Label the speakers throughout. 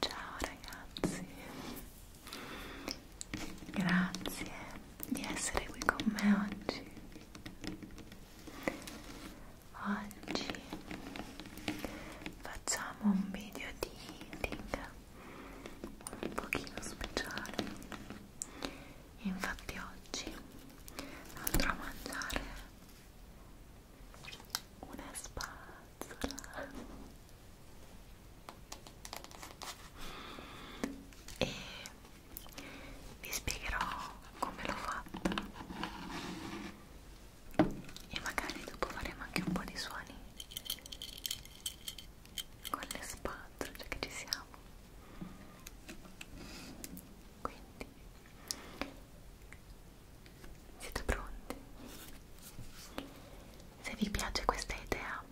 Speaker 1: Ciao ragazzi, grazie di essere qui con me oggi. Oggi facciamo un video di eating un pochino speciale e infatti oggi andrò a mangiare una spazzola e vi spiegherò come l'ho fatta e magari dopo faremo anche un po' di suoni con le spazzole, cioè che ci siamo quindi siete pronti? se vi piace questa idea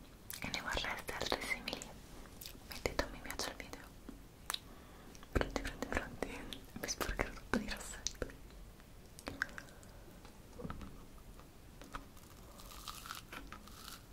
Speaker 1: e ne vorreste altre simili mettete un mi piace al video pronti pronti pronti mi sporcherò tutto di rossetto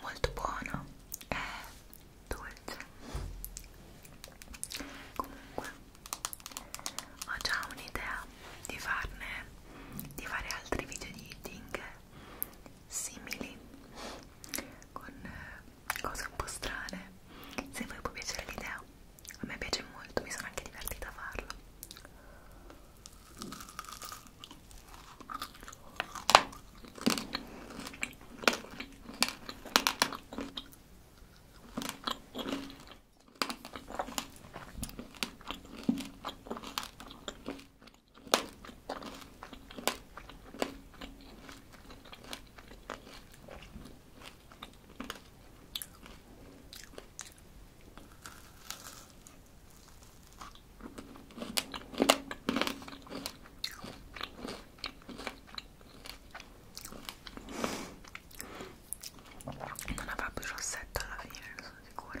Speaker 1: molto buono è dolce comunque ho già un'idea di farne di fare altri video di eating simili con cose un po' strane se voi può piacere l'idea a me piace molto, mi sono anche divertita a farlo non avrà più rossetto alla fine, ne sono sicura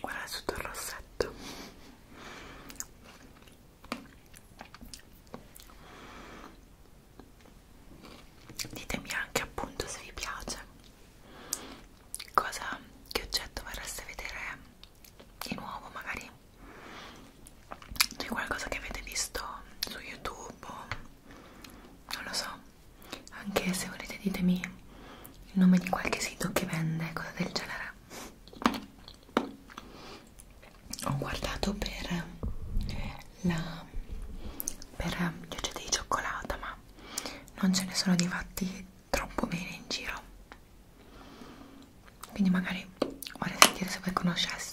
Speaker 1: guarda tutto il rossetto ditemi anche appunto se vi piace cosa che oggetto vorreste vedere di nuovo magari di qualcosa che avete visto su youtube o non lo so anche se volete ditemi il nome di qualche sito che vende cose del genere ho guardato per la per gli oggetti di cioccolata ma non ce ne sono di fatti troppo bene in giro quindi magari vorrei sentire se voi conosceste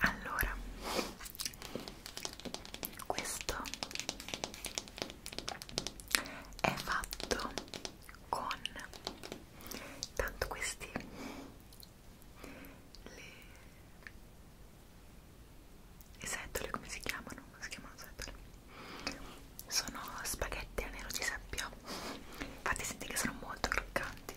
Speaker 1: Allora, questo è fatto con tanto questi le setole come si chiamano? Come si chiamano setole? Sono spaghetti a nero di seppia. Infatti senti che sono molto croccanti.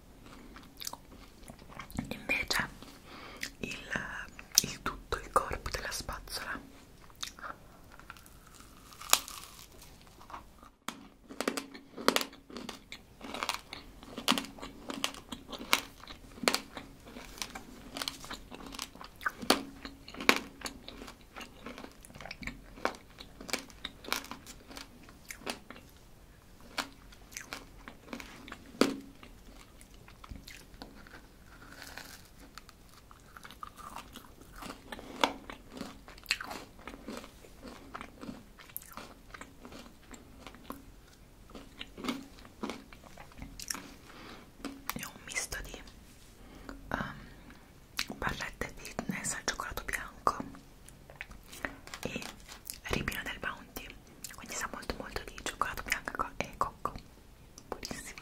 Speaker 1: invece il, il tutto il corpo della spazzola è un misto di um, ehm, barrette di fitness al cioccolato bianco e ribino del bounty quindi sa molto molto di cioccolato bianco e cocco buonissimo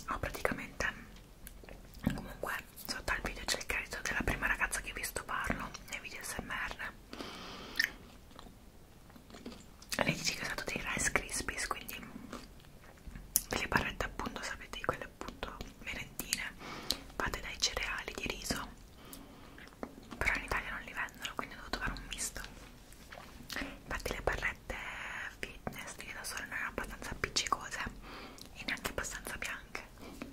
Speaker 1: ho ah, praticamente comunque sotto al video c'è il credito della prima ragazza che vi sto parlo nei video smr lei dice che è stato dei rice crispies quindi delle barrette appunto sapete di quelle appunto merendine fatte dai cereali di riso però in Italia non li vendono quindi ho dovuto fare un misto infatti le barrette fitness di da sole non erano abbastanza appiccicose e neanche abbastanza bianche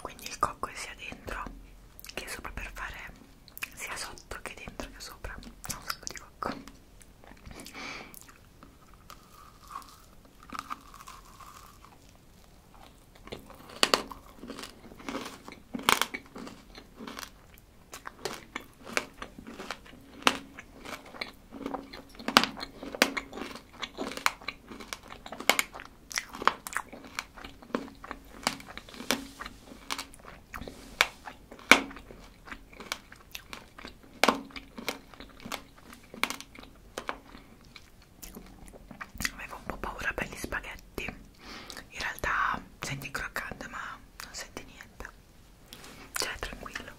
Speaker 1: quindi il cocco è sia dentro che sopra per fare sia sotto che dentro che sopra è un sacco di cocco Avevo un po' paura per gli spaghetti, in realtà senti il croccante ma non senti niente, cioè tranquillo.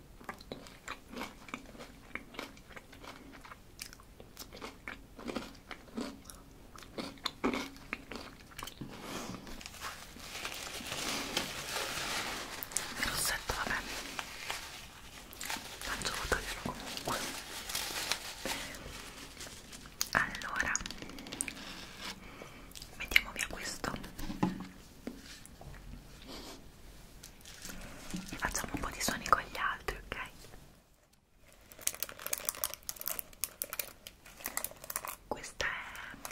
Speaker 1: Il rossetto, vabbè, faccio tagliarlo comunque. Allora, mettiamo via questo. Facciamo un po' di suoni con gli altri, ok? Questa è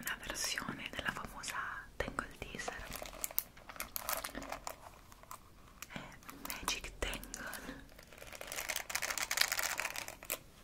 Speaker 1: una versione della famosa Tangle Teaser è Magic Tangle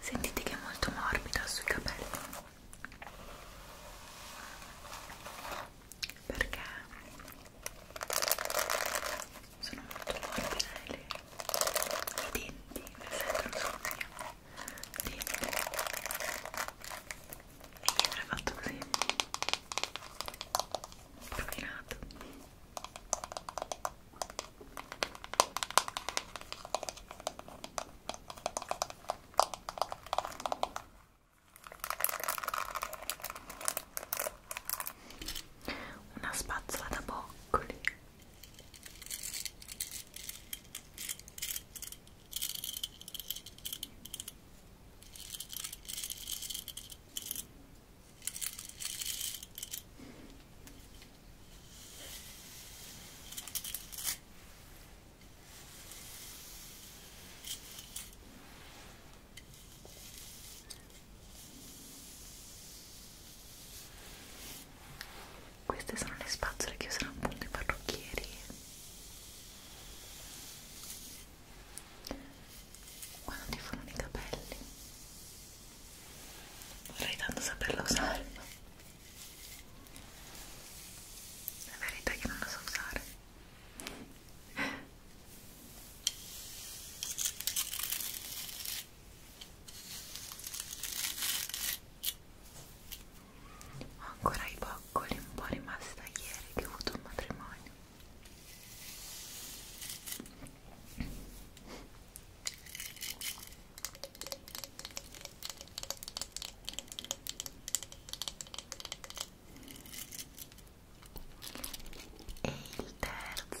Speaker 1: sentite che è molto morbida sui capelli perché sono molto morbide eh, le, i denti le sentono sul mio dente e mi era fatto così rovinato una spazzola da boccoli queste sono le spazzole che usano appunto i parrucchieri. Quando ti fanno i capelli. Vorrei tanto saperla usare la verità è che non la so usare ho ancora i boccoli un po' rimasti da ieri che ho avuto un matrimonio e il terzo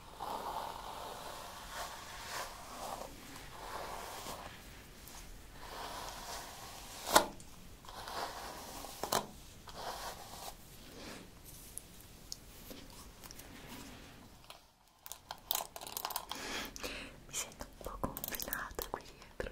Speaker 1: Mi sento un po' confinata qui dietro.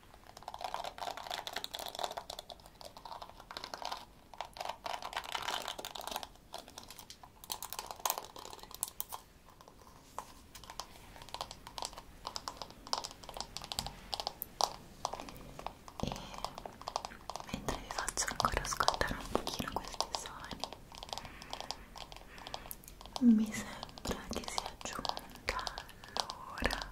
Speaker 1: e mentre vi faccio ancora ascoltare un pochino questi suoni mi sembra che sia giunta l'ora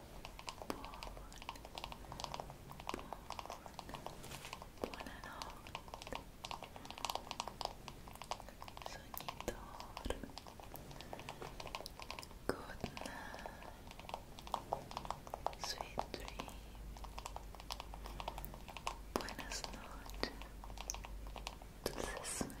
Speaker 1: Good night, sweet dream. Buenas noches, dulces sueños.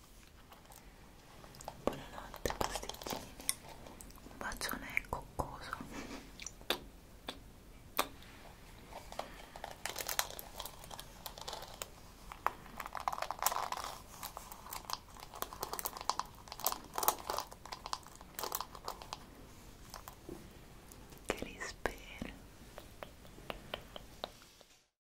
Speaker 1: Buonanotte pasticcini, un bacione coccoso. Che li spero.